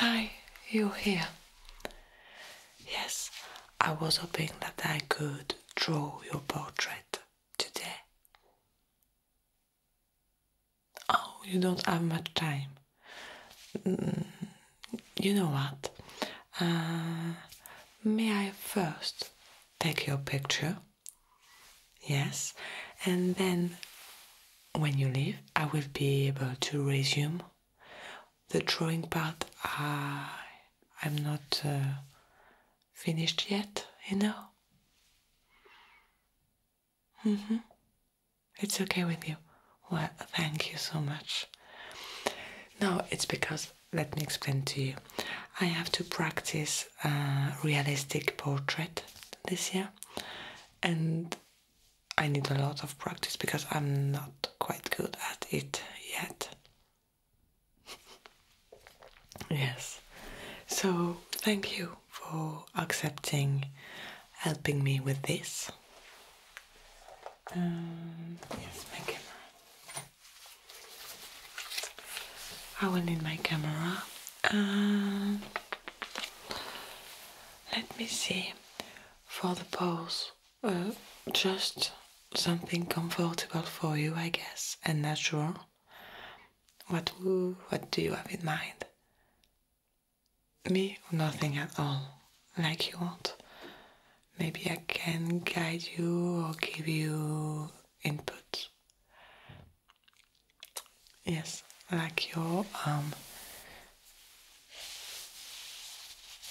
Hi, you here? Yes, I was hoping that I could draw your portrait today. Oh, you don't have much time. Mm, you know what? Uh, may I first take your picture? Yes, and then when you leave, I will be able to resume the drawing part. I, I'm not uh, finished yet, you know. Mm -hmm. It's okay with you. Well, thank you so much. No, it's because, let me explain to you. I have to practice a realistic portrait this year, and I need a lot of practice because I'm not quite good at it yet. yes. So, thank you for accepting helping me with this. Um, yes, my camera. I will need my camera let me see for the pose. Uh, just something comfortable for you, I guess, and natural. What what do you have in mind? Me, nothing at all, like you want. Maybe I can guide you or give you input. Yes, like your arm. Um,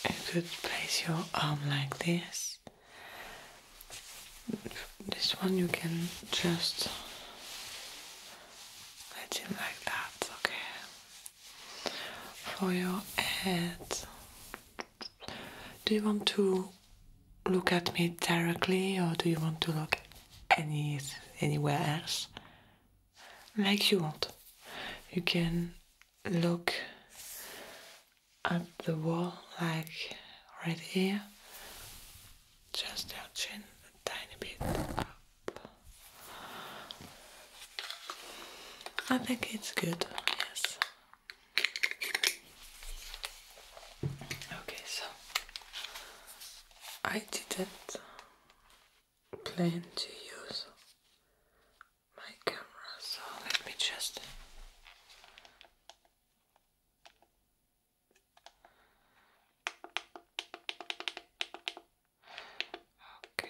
you could place your arm like this. This one you can just let it like that, okay? For your head. Do you want to look at me directly or do you want to look any anywhere else? like you want. You can look at the wall like right here. Just your chin a tiny bit up. I think it's good, yes. Okay, so I did it plan to use my camera, so let me just okay.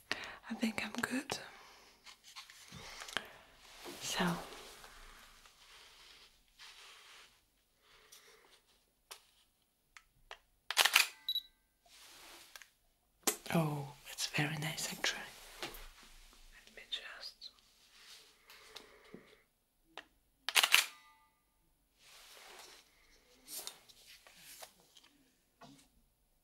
I think I'm good. So Oh, it's very nice actually. Let me just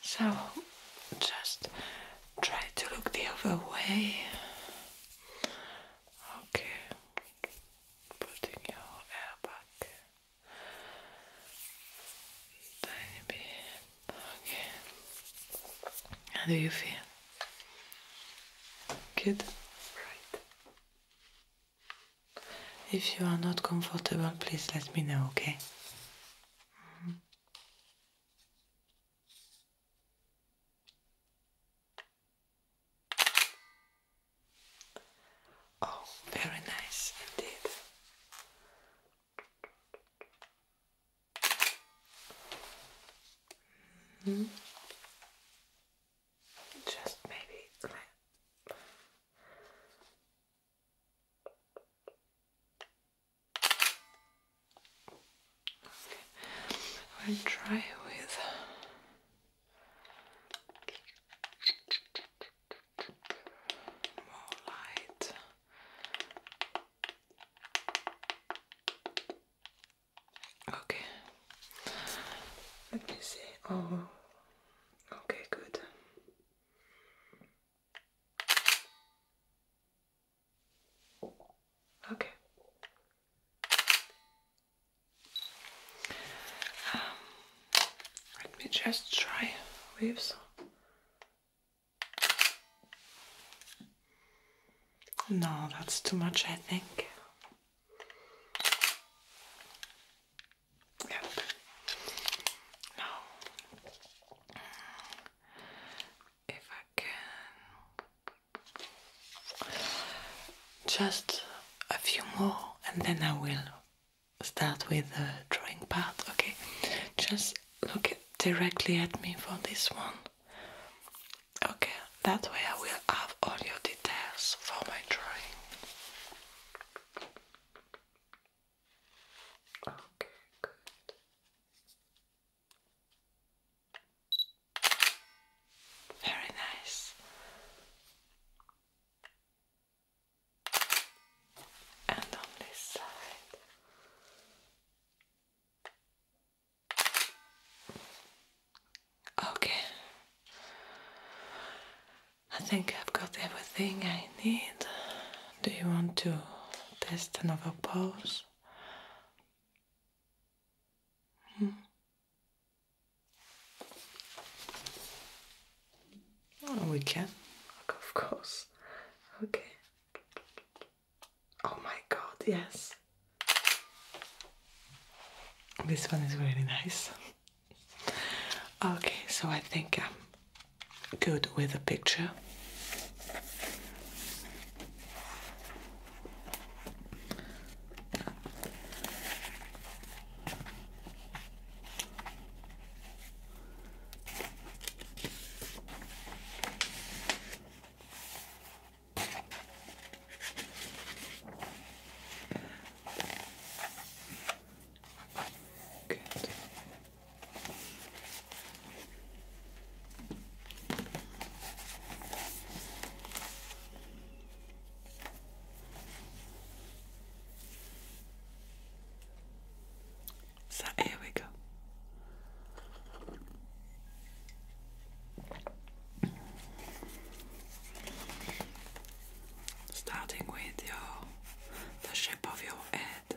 So just try to look the other way. Okay, putting your hair back. Tiny bit. Okay. How do you feel? Good. Right. If you are not comfortable, please let me know, okay? Mm-hmm. Oh, very nice indeed. Mm-hmm. Just maybe Okay. We'll try with more light. Okay. Let me see. Oh, okay, good. Okay. Um, let me just try waves. No, that's too much, I think. Yep. No if I can just a few more and then I will start with the drawing part okay just look directly at me for this one okay that way I will have all your details for my drawing Okay, good. Very nice. And on this side. Okay. I think I've got everything I need. Do you want to test another pose? Oh, hmm? we can, of course. Okay. Oh my god, yes. This one is really nice. okay, so I think um, good with a picture. Good. So here we go. Starting with your the shape of your head.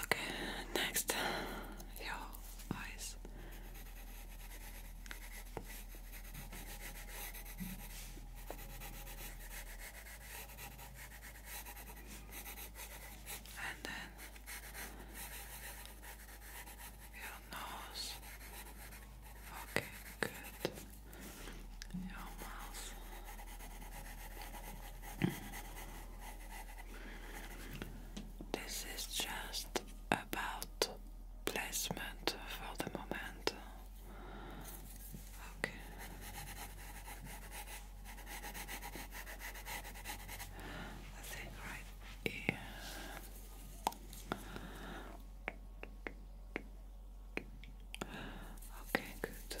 Okay, next, your eyes. And then your nose. Okay, good. Your mouth. This is just about placement for the moment. Okay. I think right Okay, good.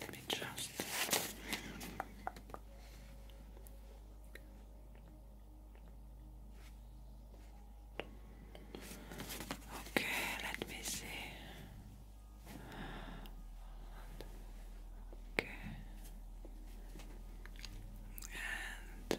Let me just Okay, let me see. Okay. And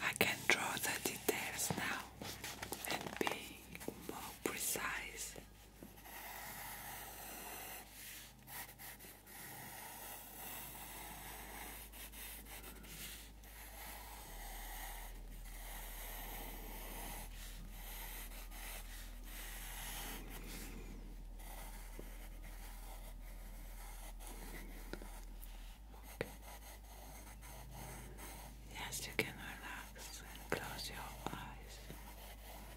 I can draw the details now and be more precise Okay. Yes, you can relax and close your eyes.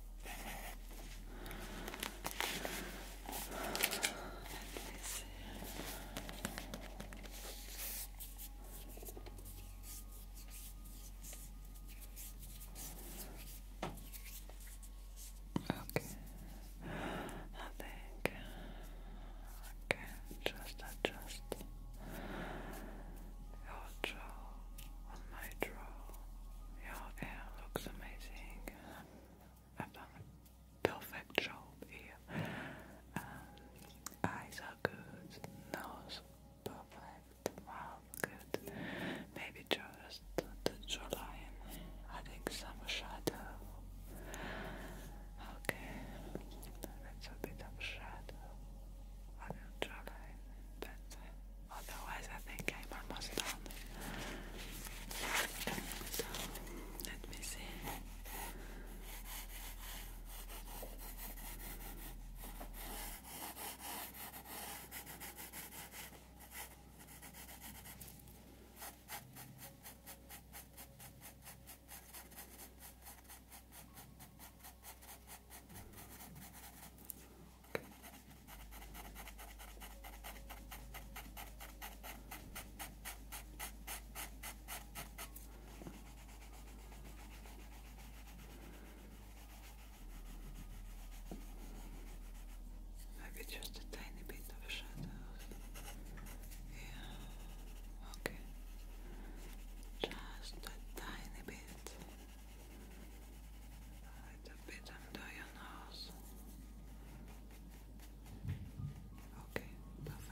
Let me Okay, I think I just adjust your jaw my jaw. Your hair looks amazing. I've done a perfect job here. eyes are good, nose perfect, mouth good. Maybe just the jawline, adding some shadow. Okay, that's a bit of shadow on your jawline. Otherwise, I think I'm almost done. let me see. Okay. Maybe just a tiny bit of shadows. Yeah. Okay. Just a tiny bit a little bit under your nose. Okay, perfect.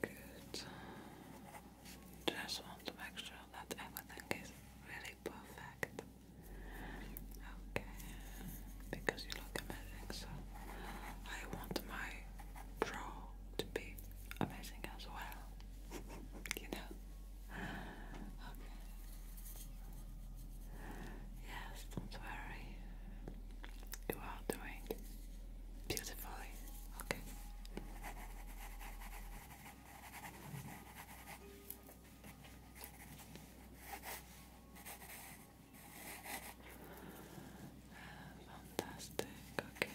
Good. Just want to make sure that everything is really perfect. Okay, because you look amazing, so I want my pro to be amazing as well. you know? Okay. Yes, don't worry. You are doing beautifully. Okay. Fantastic. Okay.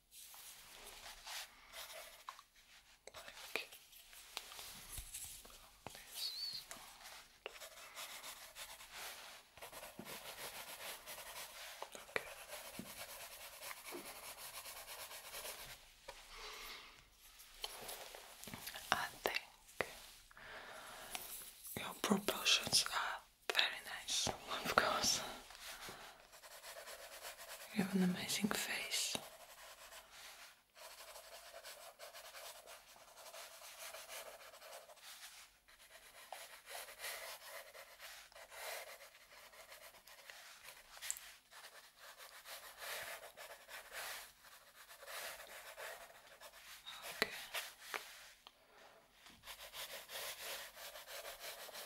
like from I think your proportions are very nice, of course. You have an amazing face. Okay.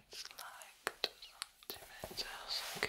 It's like two centimeters, okay.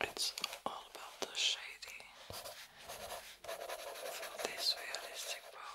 It's all about the shading for this realistic part.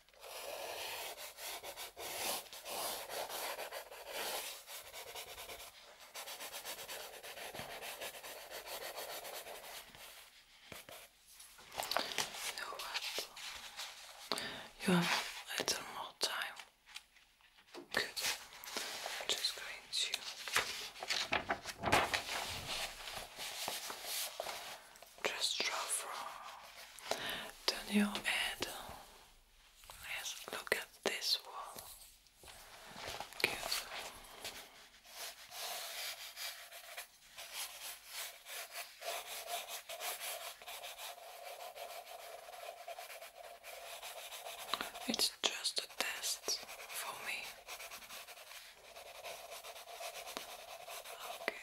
You what? You have a little more time. Good. just going to just draw from turn your head Let's look at this wall It's just a test for me. Okay.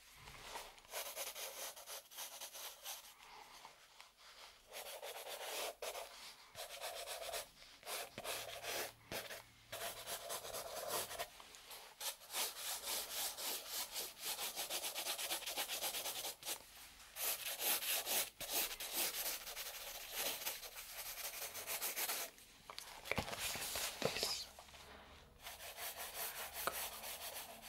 Okay, this. Go.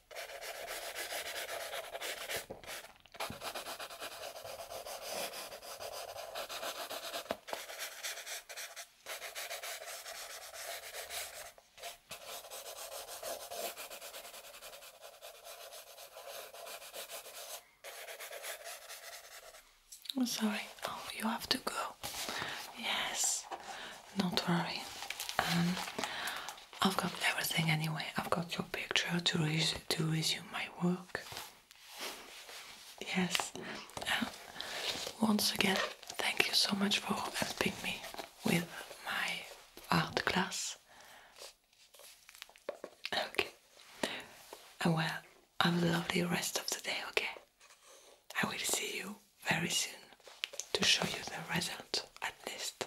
I'm sorry. Oh, you have to go. Yes, not worry. Um, I've got everything anyway. I've got your picture to resume my work. Yes. Uh, once again, thank you so much for helping me with my art class. Okay. Uh, well, have a lovely rest of the day, okay? I will see you very soon to show you the result at least.